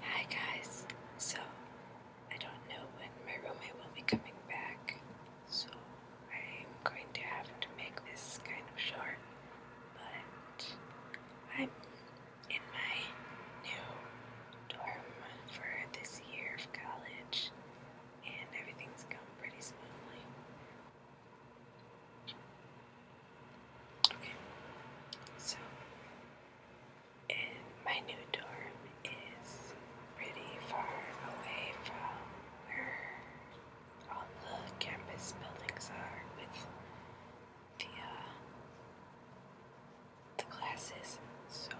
Hi guys, so I don't know when my roommate will be coming back, so I'm going to have to make this kind of short, but I'm in my new dorm for this year of college, and everything's gone pretty smoothly. Okay, so my new dorm is pretty far away from where all the campus buildings are with the uh, the classes. So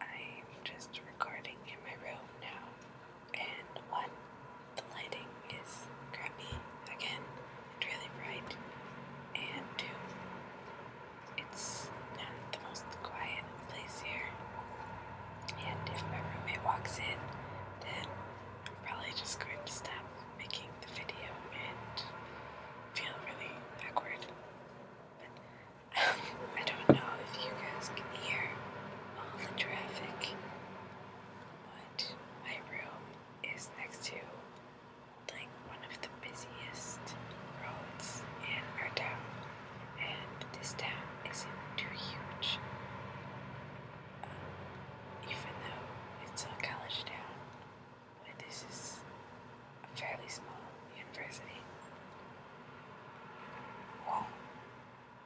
I'm just recording in my room now and one, the lighting is crappy again and really bright, and two, it's not the most quiet place here. And if my roommate walks in, then I'm probably just going to stop making the video and feel really awkward. But I don't know if you guys can hear all the traffic. But my room is next to like one of the busiest roads in our town, and this town isn't too huge. Um, even though it's a college town, but this is a fairly small university. Well,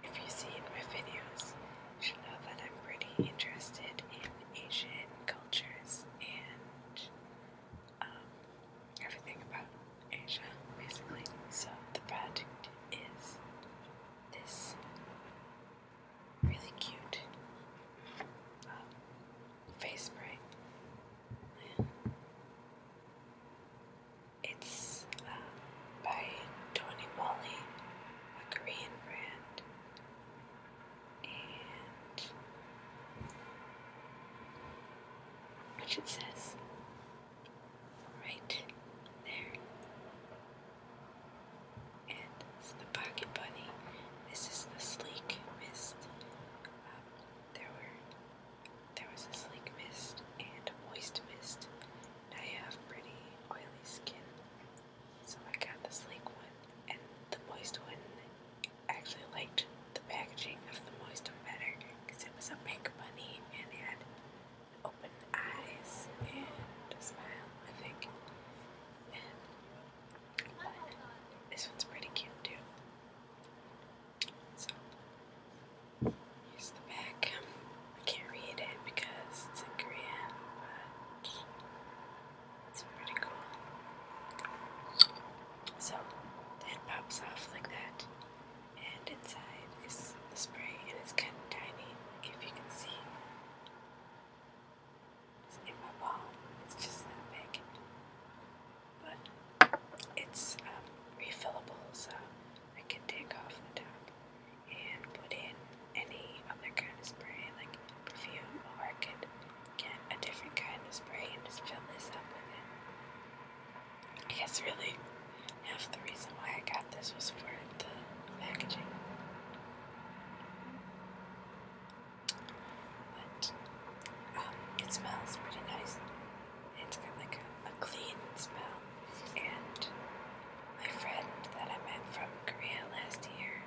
if you see in my videos, you should know that I'm pretty interested in Asian cultures and um, everything about Asia, basically. So the project is this really cute um, face spray. It's uh, by Tony Moly, a Korean brand, and which it says right there. And it's the Pocket Bunny. This is the sleek mist. Um, there were there was a sleek mist and a moist mist, and I have pretty oily skin, so I got the sleek one and the moist one. actually liked the packaging of the moist one better because it was a pink bunny and it had open eyes and a smile, I think. but this one's pretty cute too. So here's the back. I can't read it because it's in Korean, but it's pretty cool. So that pops off like that, and inside is the spray, and it's kind of tiny, if you can see. It's in my palm. It's just that big but it's um, refillable, so I can take off the top and put in any other kind of spray, like perfume, or I could get a different kind of spray and just fill this up with it. I guess really half the reason why I got this was for the packaging. But um, it smells pretty nice. It's got like a, a clean smell. And my friend that I met from Korea last year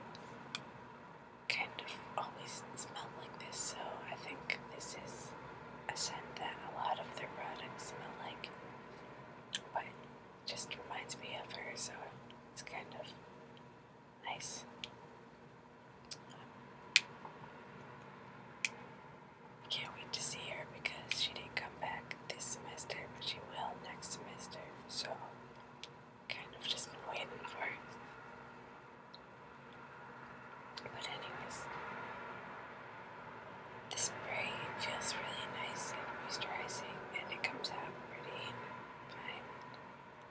kind of always smelled like this, so I think this is a scent that a lot of their products smell like. But it just reminds me of her, so it's kind of nice. I Can't wait to see her because she didn't come back this semester, but she will next semester. So, kind of just been waiting for But, anyways, the spray feels really nice and moisturizing, and it comes out pretty fine.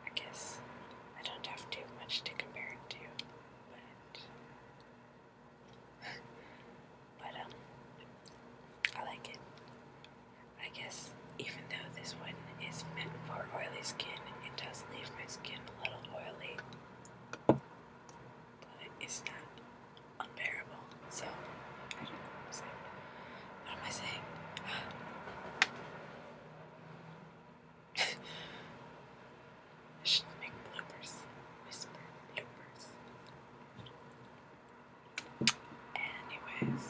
I guess I don't have too much to compare it to, but but um, I like it. I guess even though this one is meant for oily skin, it does leave my skin a little oily, but it's not unbearable. So What am I saying? Shilling bloopers, whisper bloopers. Anyways,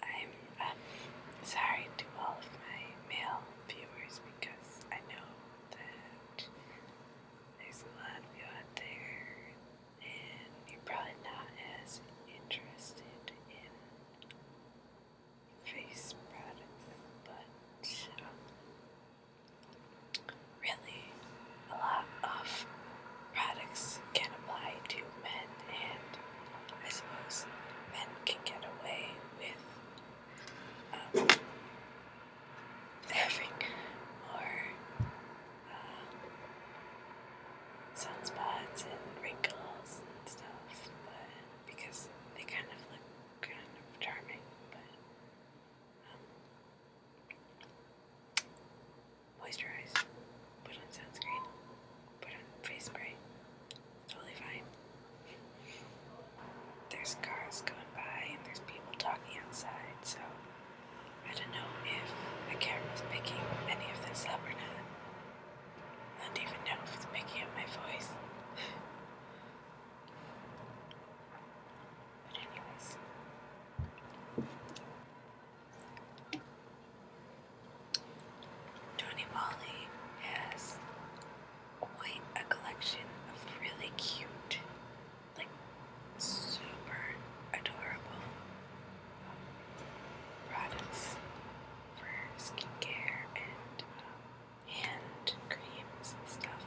I'm um, sorry to all of my male viewers because I know that there's a lot of you out there and you're probably not as interested in face products, but um, really a lot of products can apply to men, and I suppose men can get away with um, having more um, sunspots and wrinkles and stuff, but because they kind of look kind of charming, but um, moisturize, put on sunscreen, put on face spray, totally fine. There's cars going by and there's people talking outside, so I don't know if the camera's picking any of this up or not. I don't even know if it's picking up my voice. but anyways. Tony Polly has quite a collection of really cute, like super adorable um, products for skincare and um, hand creams and stuff.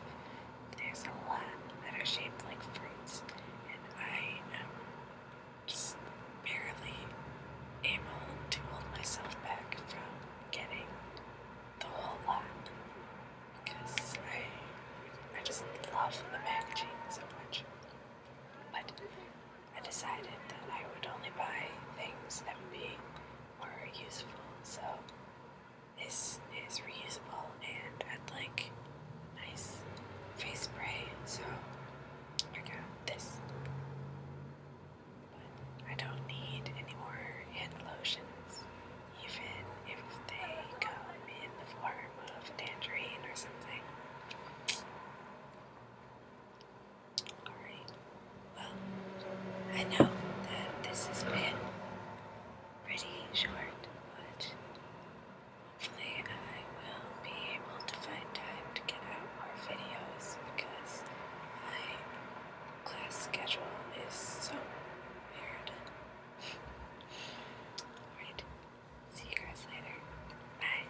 There's a lot that are shaped like fruits, and I am just barely able to hold myself back from getting the whole lot because I I just love the packaging so much. But I decided that I would only buy things that would be more useful, so this is reusable and I'd like nice face spray, so I got this. But I don't need any more hand lotions, even if they come in the form of tangerine or something. Alright, well, I know that this has been pretty short, but hopefully I will be able to find time to get out more videos because my class schedule is so weird. Alright, see you guys later. Bye.